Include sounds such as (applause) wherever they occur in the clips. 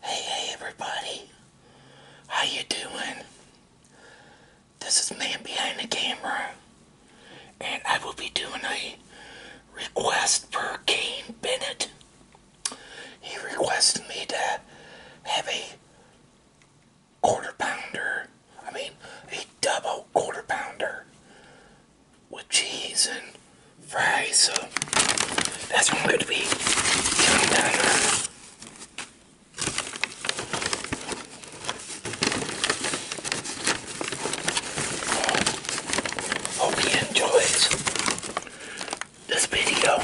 Hey, hey, everybody. How you doing? This is Man Behind the Camera. And I will be doing a request for Kane Bennett. He requested me to have a quarter pounder. I mean, a double quarter pounder with cheese and fries. So that's what I'm going to be Hope you enjoyed this video.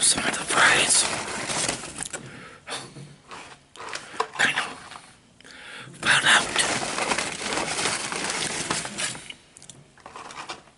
Some of the fries kind of fell out. Um,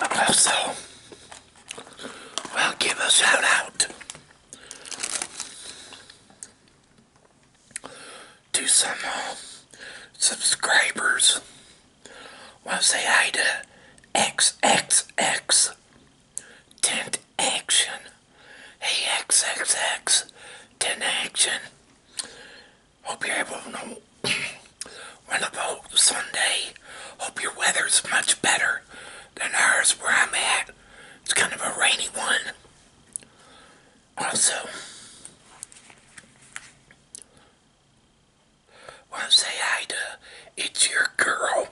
Also, we'll give a shout out to some uh, subscribers. Want to say hi to XXX Ten Action. Hey, x x. Ten Action. Hope you're able to know (coughs) wonderful Sunday. Hope your weather's much better than ours where I'm at. It's kind of a rainy one. Also, Want to say hi to it's your girl.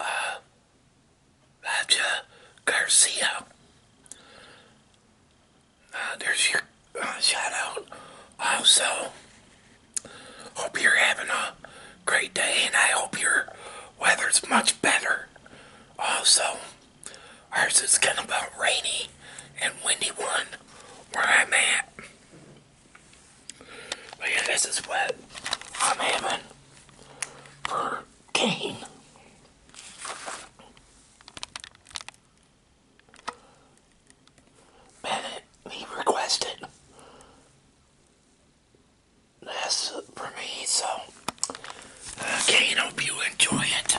Uh, Raja Garcia. Uh, there's your uh, shout out. Also, hope you're having a great day, and I hope your weather's much better. Also, ours is kind of a rainy and windy one where I'm at. But yeah, this is wet. I'm aiming for cane. Bennett, he requested this for me, so uh, Kane, hope you enjoy it.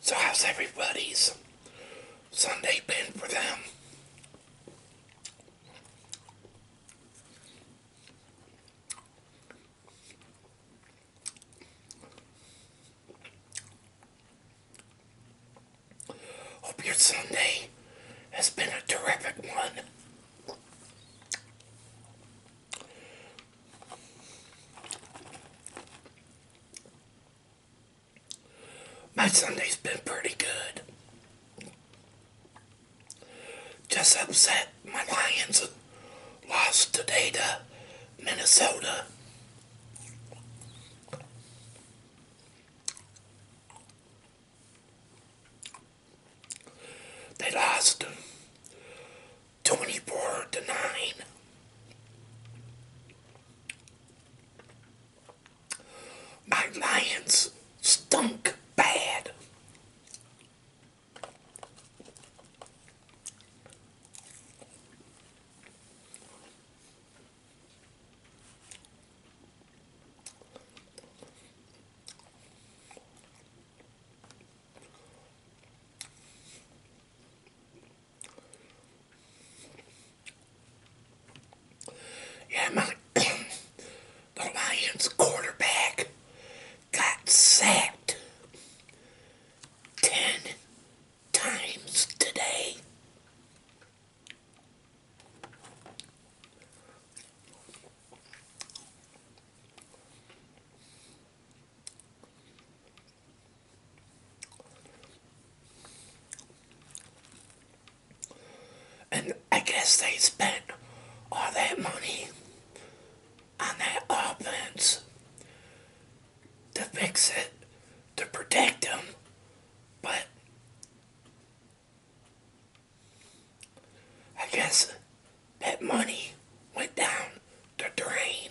So how's everybody's Sunday been for them? Hope your Sunday has been a terrific one. My Sunday's been pretty good. Just upset my Lions lost today to Minnesota. They lost 24 to 9. My Lions stunk bad. Yeah, man, the Lions quarterback got sacked ten times today. And I guess they spent all that money on that offense to fix it, to protect him, but I guess that money went down the drain.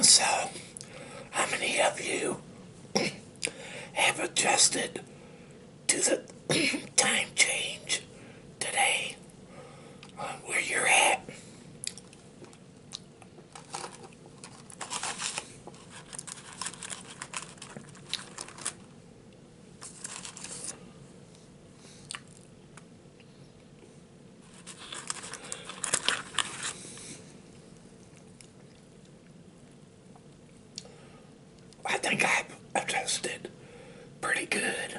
So, how many of you (clears throat) have adjusted to the (clears throat) time change today uh, where you're at. I think I've adjusted pretty good.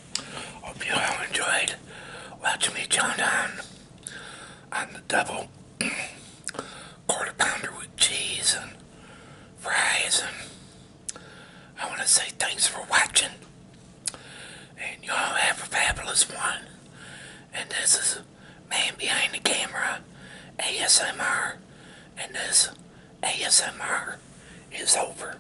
Hope you all enjoyed watching me chow down on the double (clears throat) quarter pounder with cheese and fries. And I want to say thanks for watching. And you all have a fabulous one. And this is Man Behind the Camera ASMR. And this ASMR is over.